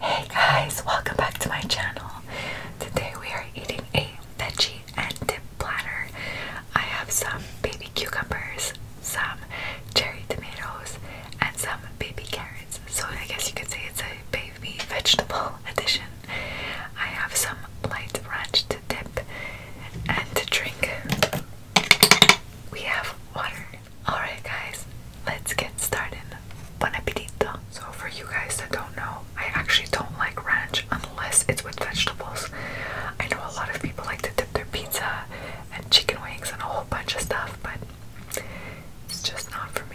Hey guys, welcome back to my channel. Today we are eating a veggie and dip platter. I have some baby cucumbers, some cherry tomatoes, and some baby carrots. So I guess you could say it's a baby vegetable edition. I have some light ranch to dip and to drink. We have water. Alright, guys, let's get started. Bon appetito! So, for you guys that don't know, I actually don't like ranch unless it's with vegetables. I know a lot of people like to dip their pizza and chicken wings and a whole bunch of stuff, but it's just not for me.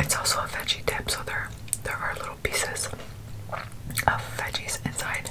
It's also a veggie dip, so there there are little pieces of veggies inside.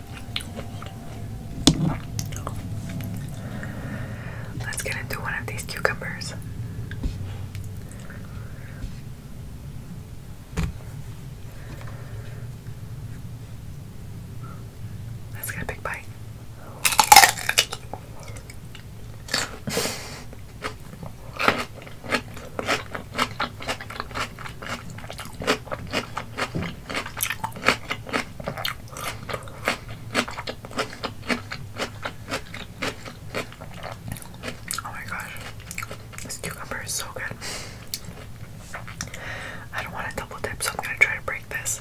Let's get into one of these cucumbers. Let's get a big bite. Oh my gosh, this cucumber is so good. I don't want to double dip, so I'm gonna try to break this.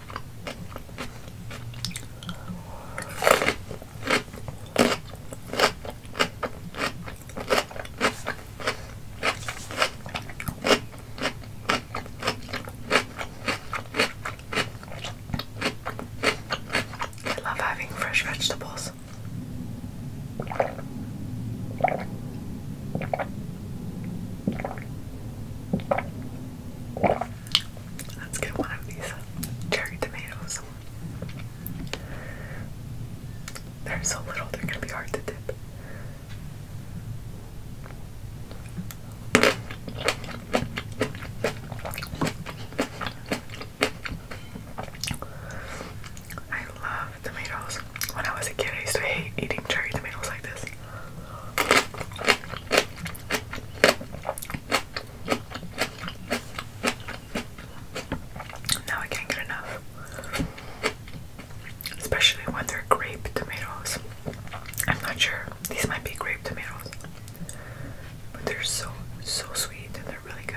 I love having fresh vegetables. Let's get one of these uh, cherry tomatoes. They're so little, they're gonna be hard to dip. I love tomatoes. When I was a kid, I used to hate eating cherry tomatoes like this. Now I can't get enough. Especially when they're grape tomatoes. I'm not sure. These might be grape tomatoes. But they're so, so sweet and they're really good.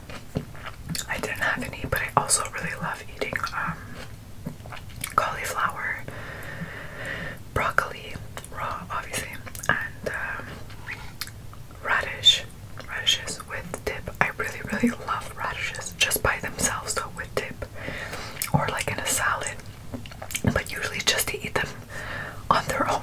I didn't have any, but I also really love eating um, cauliflower, broccoli, raw, obviously, and um, radish, radishes with dip. I really, really love radishes just by themselves, so with dip or like in a salad, but usually just to eat them on their own.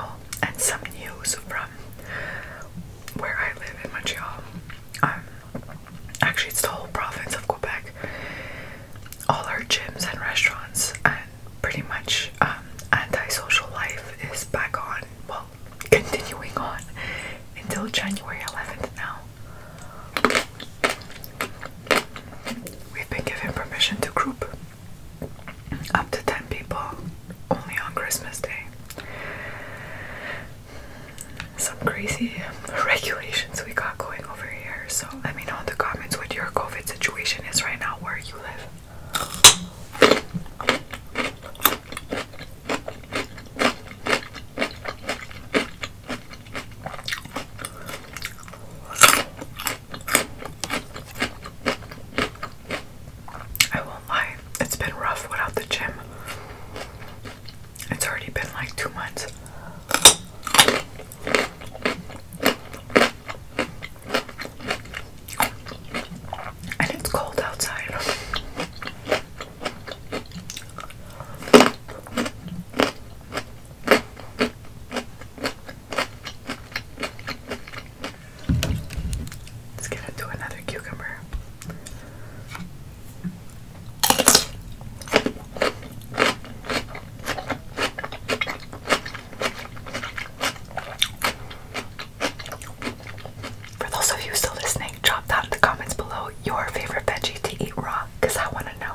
Oh, and some news from where I live in Montreal. Um, actually, it's the whole province of Quebec. All our gyms and restaurants and pretty much um, anti-social life is back on continuing on until January 11th now. We've been given permission to group up to 10 people only on Christmas Day. Some crazy regulations we got going over here, so let me know in the comments what your COVID situation is right now where you live. I won't lie, it's been rough without the gym. It's already been like two months. And it's cold outside. Let's get into another cucumber. For those of you still listening, drop down in the comments below your favorite veggie to eat raw, because I want to know.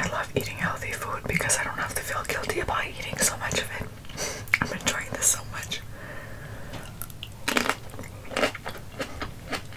I love eating healthy food because I don't have to feel guilty about eating so much of it. I'm enjoying this so much.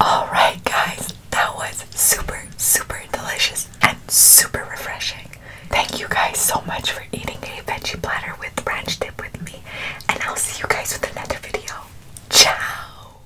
Alright, guys, that was super, super delicious and super refreshing. Thank you guys so much for eating a veggie platter with ranch dip with me, and I'll see you guys with another video. Ciao!